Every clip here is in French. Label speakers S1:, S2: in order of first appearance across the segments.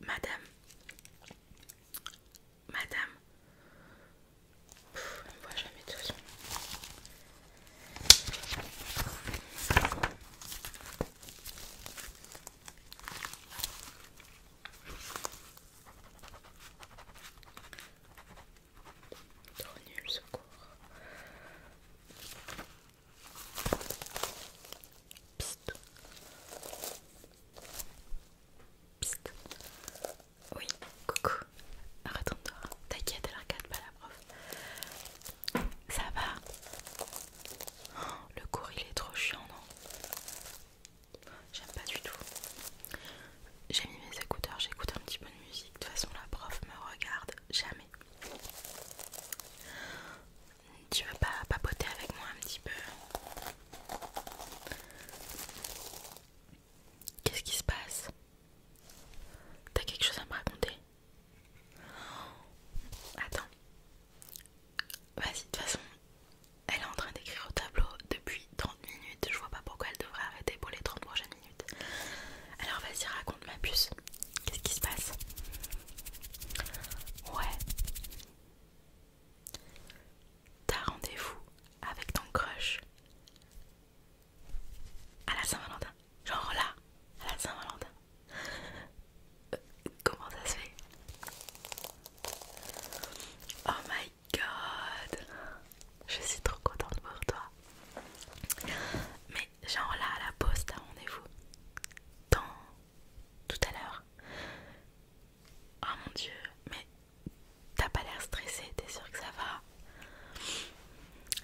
S1: Madame, Madame, on ne voit jamais tout. Trop nul ce cours. Psst. Psst. Oui, coucou. Retourne-toi. T'inquiète, elle regarde pas la prof. Ça va oh, Le cours il est trop chiant, non J'aime pas du tout. J'ai mis mes écouteurs, j'écoute un petit peu de musique. De toute façon, la prof me regarde jamais. Tu veux pas papoter avec moi un petit peu Qu'est-ce qui se passe T'as quelque chose à me raconter Attends. Vas-y, de toute façon, elle est en train d'écrire au tableau depuis 30 minutes. Je vois pas pourquoi elle devrait arrêter pour les 30 prochaines minutes. Alors vas-y, raconte ma puce. Qu'est-ce qui se passe Ouais. T'as rendez-vous avec ton crush à la Saint-Valentin. Genre là, à la Saint-Valentin. Euh, comment ça se fait Oh my god Je suis trop contente pour toi. Mais genre là, à la poste, à rendez-vous. Dans... Tout à l'heure. Oh mon dieu, mais t'as pas l'air stressée, t'es sûr que ça va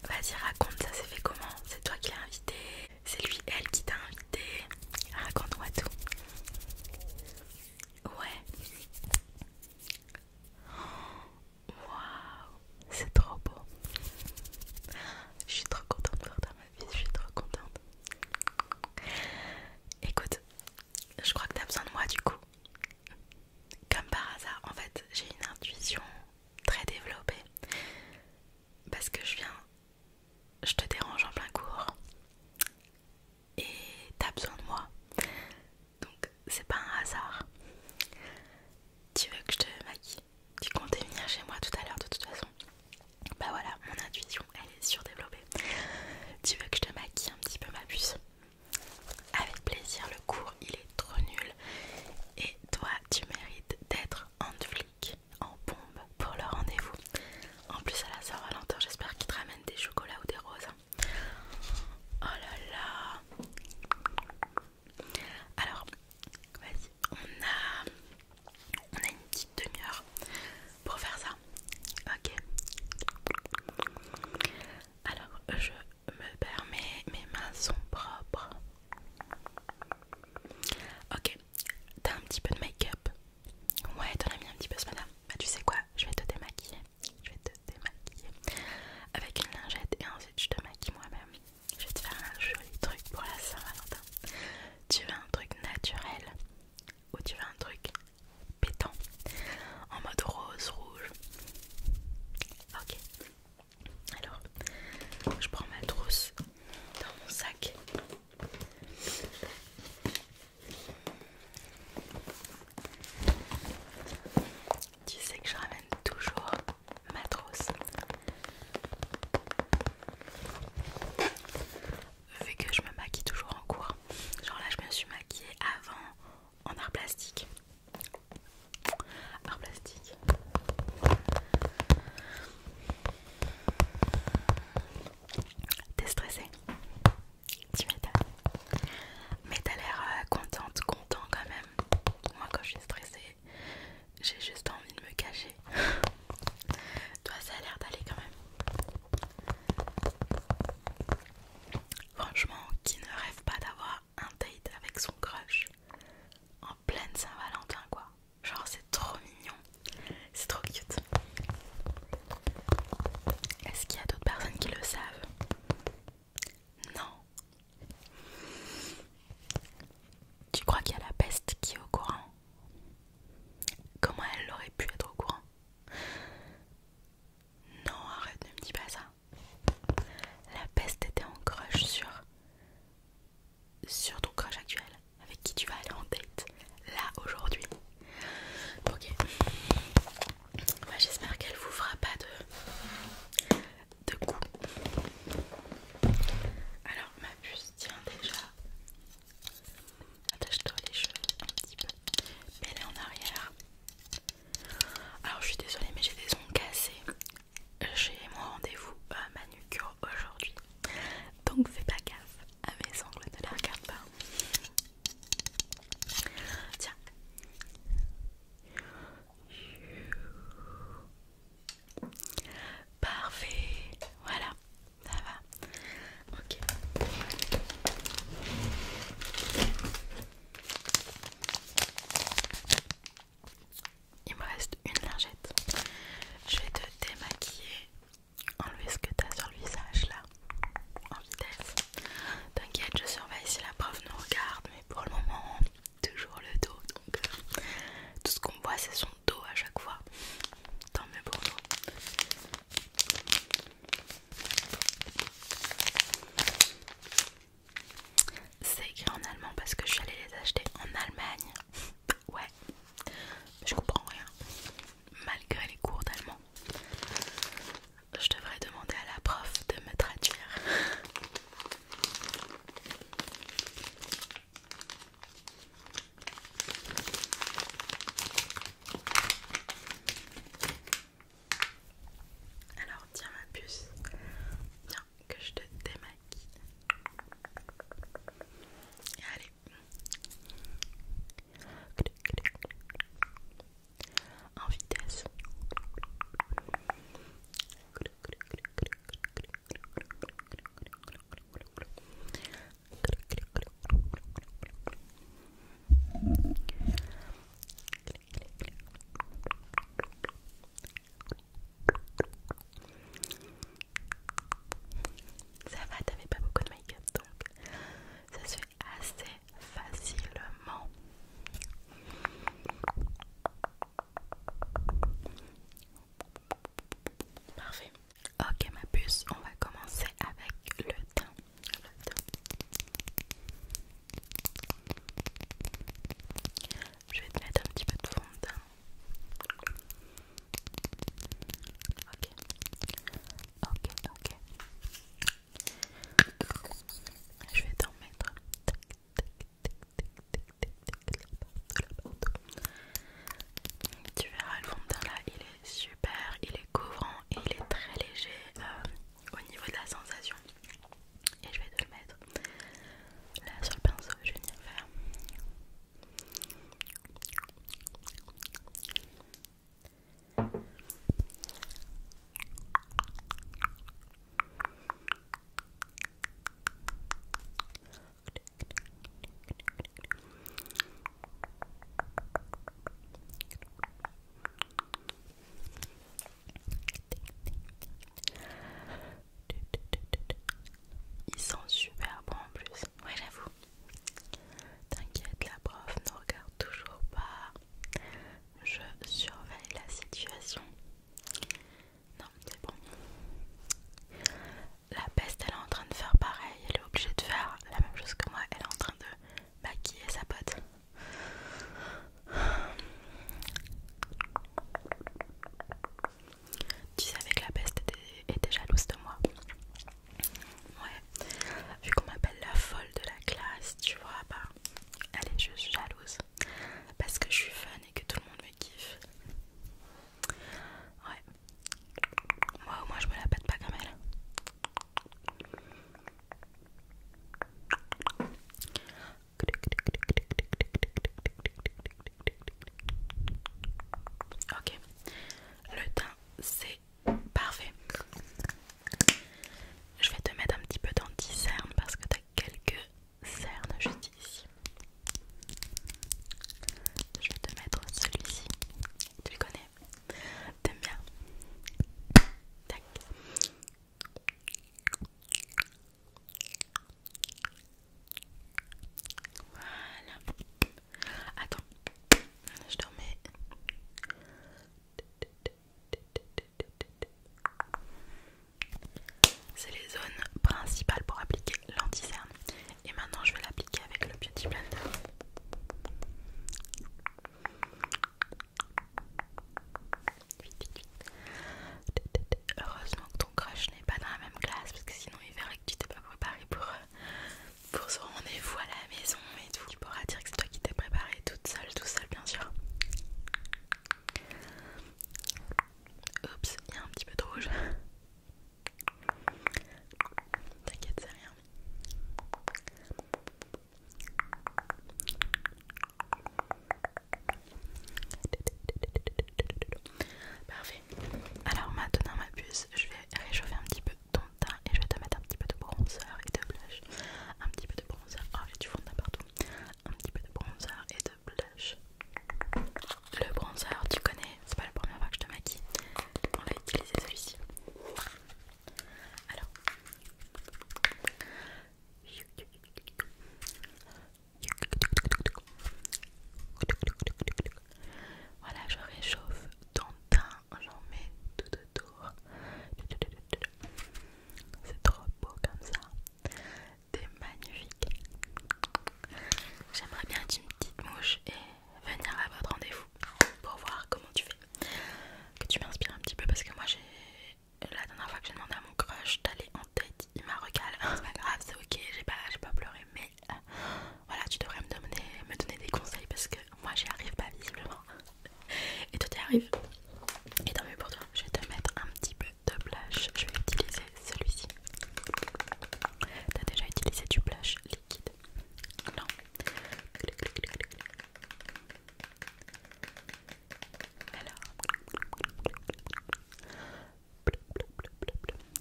S1: Vas-y raconte, ça s'est fait comment C'est toi qui l'as invité C'est lui, elle qui t'a invité Raconte-moi tout. Ouais. Waouh, c'est trop beau. Je suis trop contente de voir ta ma vie, je suis trop contente. Écoute, je crois que t'as besoin de moi du coup. Comme par hasard, en fait, j'ai une intuition très développée parce que je viens, je te dérange en plein cours et t'as besoin de moi. Donc c'est pas un hasard. Tu veux que je te maquille Tu comptais venir chez moi tout à l'heure de toute façon. Bah voilà, mon intuition elle est surdéveloppée. Tu veux que je te maquille un petit peu ma puce avec plaisir, le cours il est trop nul. Et toi, tu mérites d'être en flic, en bombe pour le rendez-vous. En plus, à la Saint-Valentin, j'espère qu'ils te ramènent des chocolats ou des roses. Oh là là! Alors, vas-y, on a, on a une petite demi-heure pour faire ça. Ok? Alors, je me permet, mes mains sont propres. Ok, t'as un petit peu de make-up Ouais, t'en as mis un petit peu ce matin. Bah, tu sais quoi, je vais te démaquiller. Je vais te démaquiller avec une lingette et ensuite je te maquille moi-même. Je vais te faire un joli truc pour la Saint-Valentin. Tu veux un truc naturel ou tu veux un truc pétant en mode rose, rouge Ok, alors, je prends ma trousse dans mon sac. Tu sais que je ramène toujours ma trousse. Vu que je me maquille toujours en cours. Genre là, je me suis maquillée avant en art plastique par plastique. T'es stressée Tu m'étonnes. Mais t'as l'air euh, contente, content quand même. Moi quand je suis stressée, j'ai juste envie de me cacher. Toi ça a l'air d'aller quand même. Franchement, qui ne rêve pas d'avoir un date avec son crush en pleine Saint-Valentin quoi. Genre c'est trop mignon, c'est trop cute. Est-ce qu'il y a d'autres personnes qui le savent Non. Tu crois qu'il y a la peste qui est au courant Comment elle aurait pu être au courant Non, arrête, ne me dis pas ça. La peste était en crush sur, sur ton crush actuel, avec qui tu vas aller en date, là, aujourd'hui. Ok. Bah, j'espère qu'elle vous fera pas de, de coup. Alors, ma puce tient déjà. Attache-toi les cheveux un petit peu. Mets-les en arrière. Alors je suis désolée mais j'ai des ongles cassés. J'ai mon rendez-vous à euh, manucure aujourd'hui. Donc fais pas gaffe à mes ongles, ne la regarde pas. Tiens. Parfait. Voilà, ça va. Ok. Il me reste une lingette. Je vais te démaquiller, enlever ce que tu as sur le visage là, en vitesse. T'inquiète, je surveille si la prof nous regarde, mais pour le moment, toujours le dos. Donc, euh, tout ce qu'on voit, c'est son dos à chaque fois. Tant mieux pour c'est écrit en allemand parce que je suis allée les acheter en Allemagne. Ouais, je comprends rien. Malgré les cours d'allemand, je devrais demander à la prof de me traduire. Alors tiens ma puce, viens que je te démaquille. Allez. En vitesse. Ça va, t'avais pas beaucoup de make-up donc ça se fait assez facilement. Parfait. Ok ma puce, on va commencer avec le teint. Je vais te mettre un petit peu de fond de teint. Ok, ok, ok. Je vais t'en mettre. Tu verras le fond de teint là, il est super, il est couvrant il est très léger. Euh, au niveau de la sensation et je vais te le mettre là sur le pinceau je viens faire ils sont super bons en plus. Ouais, j'avoue. T'inquiète, la prof ne regarde toujours pas. Je surveille la situation. Non, c'est bon. La peste, elle est en train de faire pareil. Elle est obligée de faire la même chose que moi. Elle est en train de bah, est sa pote. Tu savais que la peste était, jalouse de moi. Ouais. Vu qu'on m'appelle la folle de la classe, tu vois, bah, elle est juste jalouse. Parce que je suis fun et que tout le monde me kiffe. Ouais. Moi au moins je me la pète pas comme elle. Ok, le teint c'est parfait. Je vais te mettre un petit peu d'anti-cerne parce que tu as quelques cernes juste ici. Je vais te mettre celui-ci. Tu le connais T'aimes bien. Voilà. Attends. Je te C'est les zones principales pour appliquer lanti Et maintenant, je vais l'appliquer avec le Beauty Blender. Heureusement que ton crush n'est pas dans la même classe parce que sinon il verrait que tu t'es pas préparé pour, ce euh, pour rendez-vous à la maison et tout. Tu pourras dire que c'est toi qui t'es préparé toute seule, tout seul bien sûr. Oups, il y a un petit peu de rouge. T'inquiète, c'est rien. Parfait. Alors maintenant ma puce, je vais réchauffer un petit peu ton teint et je vais te mettre un petit peu de bronzer et de blush. Un petit peu de bronzer. Oh j'ai du fond de partout. Un petit peu de bronzer et de blush. Le bronzer, tu connais c'est pas la première fois que je te maquille. On va utiliser celui-ci. Alors. Voilà, je réchauffe ton teint, j'en mets tout autour. C'est trop beau comme ça. T'es magnifique. J'aimerais bien une petite mouche et venir à votre rendez-vous pour voir comment tu fais. Que tu m'inspires un petit peu parce que moi j'ai la dernière fois que j'ai demandé à mon crush d'aller en tête, il m'a recalé. C'est pas grave, c'est ok, j'ai pas, pleuré, mais euh, voilà, tu devrais me donner, me donner des conseils parce que moi j'y arrive pas visiblement. Et toi t'y arrives. Et tant mieux pour toi, je vais te mettre un petit peu de blush. Je vais utiliser celui-ci. T'as déjà utilisé du blush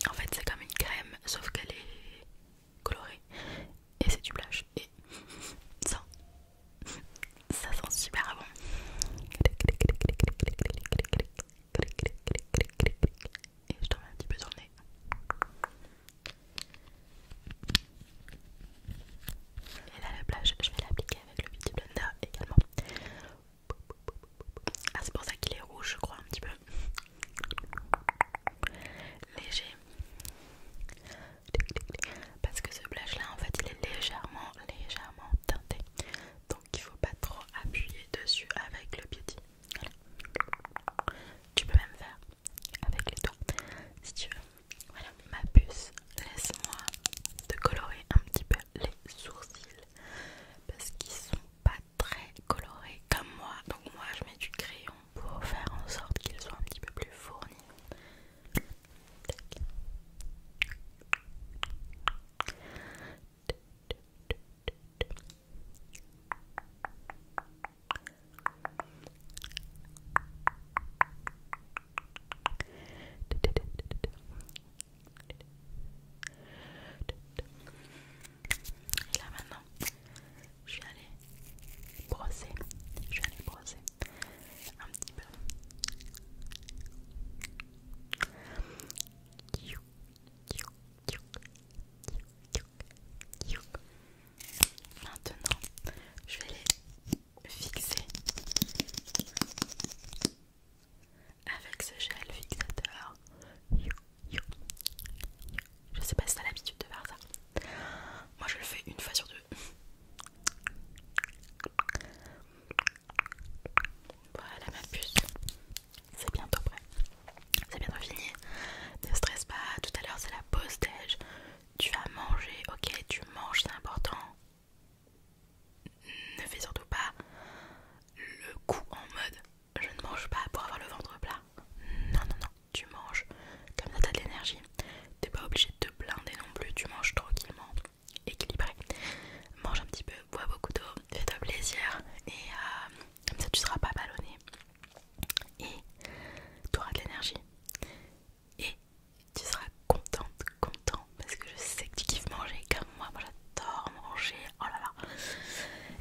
S1: en fait, c'est comme une crème, sauf qu'elle est colorée. Et c'est du blush. Et ça, ça sent super bon. Et je t'en mets un petit peu sur et là le blush je vais l'appliquer avec le Beauty Blender également Ah c'est pour ça qu'il est rouge je crois un petit peu Léger Parce que ce blush là en fait il est légèrement légèrement teinté Donc il faut pas trop appuyer dessus avec le Beauty tu peux même faire avec les doigts si tu veux. Voilà, ma puce, laisse-moi te colorer un petit peu les sourcils parce qu'ils sont pas très colorés comme moi. Donc moi je mets du crayon pour faire en sorte qu'ils soient un petit peu plus fournis. Et là maintenant, je vais aller brosser. Je vais aller brosser un petit peu. Maintenant, je vais les fixer avec ce gel fixateur. Je sais pas si t'as l'habitude de faire ça. Moi, je le fais une fois sur deux. Voilà ma puce. C'est bientôt prêt. C'est bientôt fini. Ne stresse pas, tout à l'heure c'est la pause déj. Tu vas manger, ok, tu manges, c'est important. Ne fais surtout pas le coup en mode je ne mange pas pour avoir le ventre plat. Non, non, non, tu manges comme ça t'as de l'énergie. T'es pas obligé de te blinder non plus, tu manges tranquillement, équilibré. Mange un petit peu, bois beaucoup d'eau, fais-toi plaisir et euh, comme ça tu seras pas ballonné et tu auras de l'énergie et tu seras contente, content parce que je sais que tu kiffes manger comme moi, moi j'adore manger, oh là là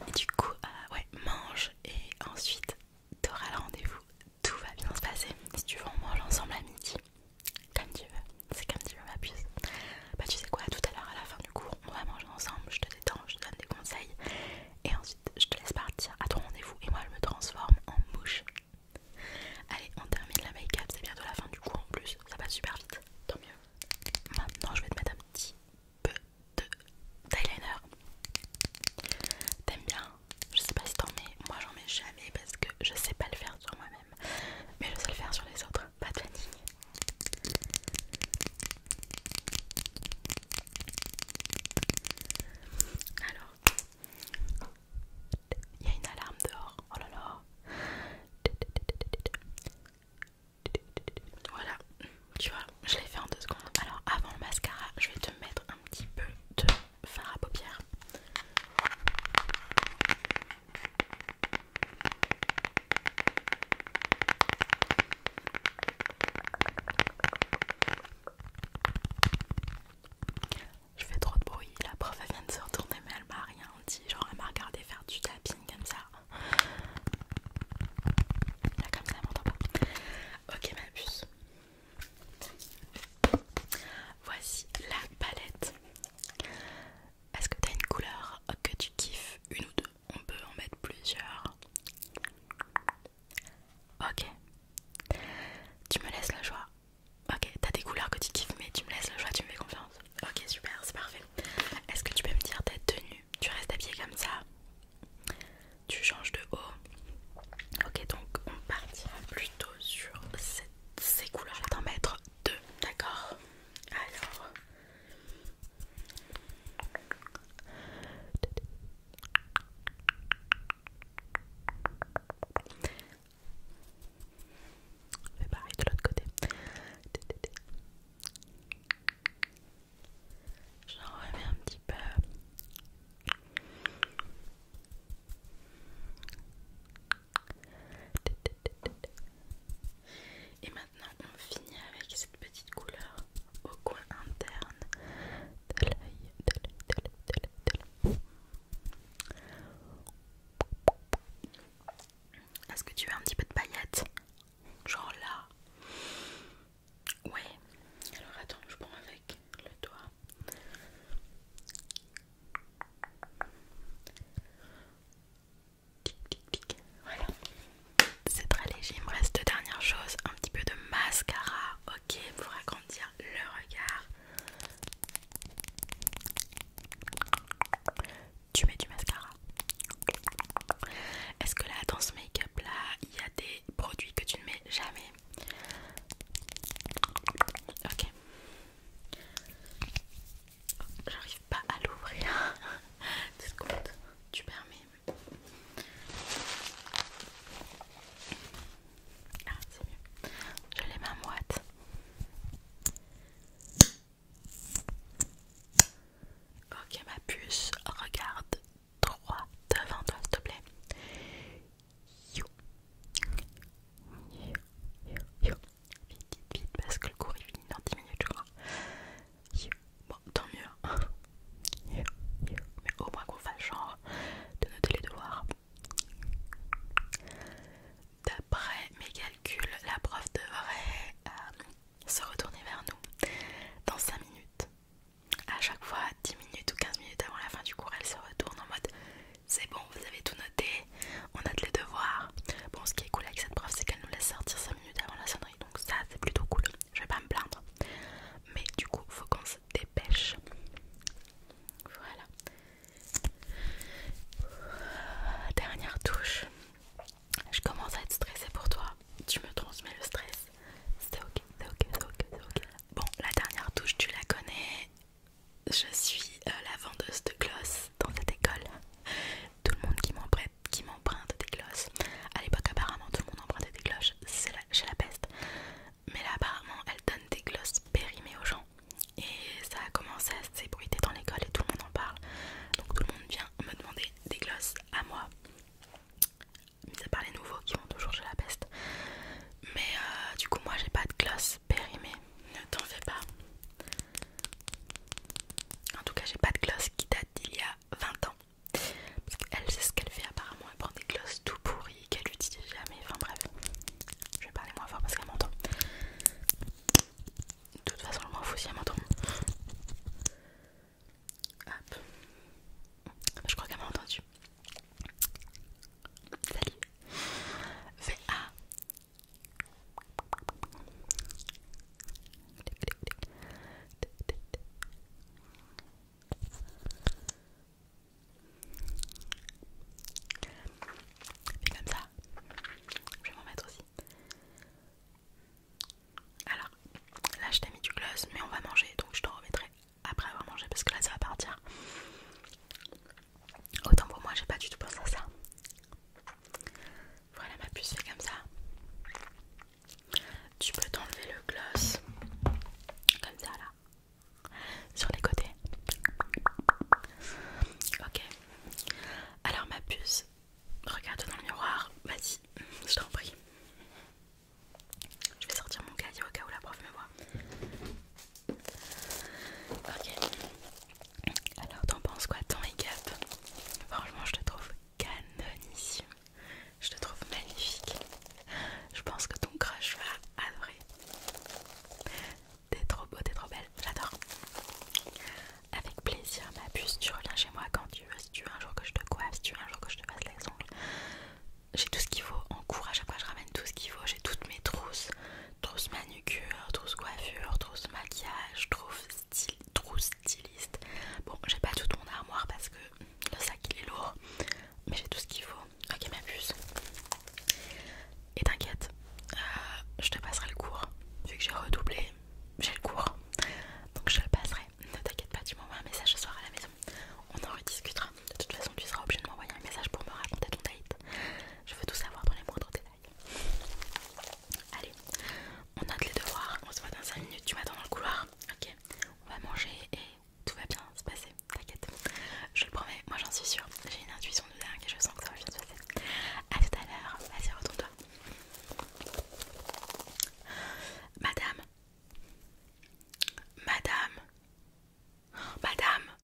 S1: et du coup euh, ouais mange et ensuite tu auras le rendez-vous, tout va bien se passer si tu veux on mange ensemble à midi comme tu veux, c'est comme tu veux ma puce bah tu sais quoi, tout à l'heure à la fin du cours, on va manger ensemble, je te détends, je te donne des conseils et ensuite je te laisse partir à ton rendez-vous et moi je me transforme en mouche. Allez, on termine la make-up, c'est bientôt la fin du cours en plus, ça passe super vite, tant mieux. Maintenant je vais te mettre un petit peu de eyeliner. T'aimes bien Je sais pas si t'en mets, moi j'en mets jamais parce que je sais pas le faire sur moi-même, mais je sais le faire sur les autres pas de Alors, il y a une alarme dehors. Oh là là. Voilà, tu vois, je l'ai fait en deux secondes. Alors, avant le mascara, je vais te mettre un petit peu de fard à paupières. Je fais trop de bruit, la prof elle vient de se retourner mais elle m'a rien dit, genre elle m'a regardé faire du tapping comme ça. Là comme ça elle m'entend pas. Ok ma puce. Voici la palette. Est-ce que t'as une couleur que tu kiffes, une ou deux on peut en mettre plusieurs. Ok. Tu me laisses la joie. Ok, t'as des couleurs que tu kiffes, mais tu me laisses la joie, tu me fais confiance. Ok, super, c'est parfait. Est-ce que tu peux me dire ta tenue Tu restes habillée comme ça Tu changes de haut Ok, donc on partira plutôt sur ces couleurs. Je t'en mettre deux, d'accord Alors, Fais pareil de l'autre côté. J'en remets un petit peu. Et maintenant, on finit avec cette petite couleur au coin interne de l'œil, Est-ce que tu veux un petit peu de paillettes Genre là Ouais. Alors attends, je prends avec le doigt. C'est très léger. Il me reste dernière chose, un petit peu de mascara, ok, pour agrandir le regard. Tu mets du mascara. Est-ce que là, dans ce make-up là, il y a des produits que tu ne mets jamais Ok. J'arrive pas à l'ouvrir. Deux tu permets. Ah, c'est mieux. je l'ai ma moite. Ok, ma puce, regarde droit devant toi, s'il te plaît. You. You. You. You. Vite, vite, vite, parce que le cours est fini dans 10 minutes, je crois. Bon, tant mieux. Mais au moins qu'on fasse genre de noter les devoirs. D'après mes calculs, la prof devrait euh, se retourner vers nous dans 5 minutes. À chaque fois, 10 minutes ou 15 minutes avant la fin du cours, elle se retourne en mode C'est bon, vous avez tout noté, on a de les devoirs. Bon, ce qui est cool avec cette prof, c'est qu'elle nous laisse sortir 5 minutes avant la sonnerie, donc ça c'est plutôt cool. Je vais pas me plaindre, mais du coup, faut qu'on se dépêche. Voilà, dernière touche. Je commence à être stressée pour toi. Tu me transmets le stress. C'est ok, c'est ok, c'est ok, c'est ok. Bon, la dernière touche, tu la connais je suis euh, la vendeuse de gloss dans cette école. Tout le monde qui m'emprunte des glosses. À l'époque, apparemment, tout le monde empruntait des glosses chez la peste. Mais là, apparemment, elle donne des glosses périmées aux gens. Et ça a commencé à s'ébruiter dans l'école et tout le monde en parle. Donc tout le monde vient me demander des glosses à moi. Mis à part les nouveaux qui vont toujours chez la peste. Mais euh, du coup, moi j'ai pas de gloss périmées. Ne t'en fais pas. En tout cas, j'ai pas de gloss qui date d'il y a 20 ans. Parce qu'elle sait ce qu'elle fait apparemment, elle prend des gloss tout pourris qu'elle n'utilise jamais. Enfin bref, je vais parler moins fort parce qu'elle m'entend. De toute façon, je m'en fous si elle m'entend. Hop. Bah, je crois qu'elle m'a entendu. Salut. VA et comme ça. Je vais m'en mettre aussi. Alors, là je t'ai mis du gloss, mais on va manger, donc je te remettrai après avoir mangé parce que là ça va partir. Autant pour moi, j'ai pas du tout pensé à ça. Voilà, ma puce fait comme ça. Tu peux t'enlever le gloss comme ça là, sur les côtés. Ok. Alors ma puce, regarde dans le miroir. Vas-y, je t'en prie. Je vais sortir mon cahier au cas où la prof me voit. Ok. Alors, t'en penses quoi, ton make-up Franchement, je te trouve canonissime. Je te trouve magnifique. Je pense que ton crush va adorer. T'es trop beau, t'es trop belle. J'adore. Avec plaisir, ma puce. Tu reviens chez moi quand tu veux. Si tu veux un jour que je te coiffe, si tu veux un jour que je te passe les ongles. J'ai tout ce qu'il faut encourage À chaque je ramène tout ce qu'il faut. J'ai toutes mes trousses trousse manucure, trousse coiffure, trousse maquillage, trousse, style, trousse styliste. Bon, j'ai pas tout mon armoire parce que le sac il est lourd, mais j'ai tout ce qu'il faut. Ok, ma puce. Et t'inquiète, euh, je te passerai le cours. Vu que j'ai redoublé, j'ai le cours. Donc je le passerai. Ne t'inquiète pas, tu m'envoies un message ce soir à la maison. On en rediscutera. De toute façon, tu seras obligé de m'envoyer un message pour me raconter ton date. Je veux tout savoir dans les moindres détails. Allez, on note les devoirs. On se voit dans 5 minutes. Tu m'attends dans le couloir. Ok, on va manger et tout va bien se passer. T'inquiète, je le promets. Moi j'en suis sûre. J'ai une intuition de dingue et je sens que ça va bien se passer. A tout à l'heure. Vas-y, retourne-toi. Madame, madame, madame.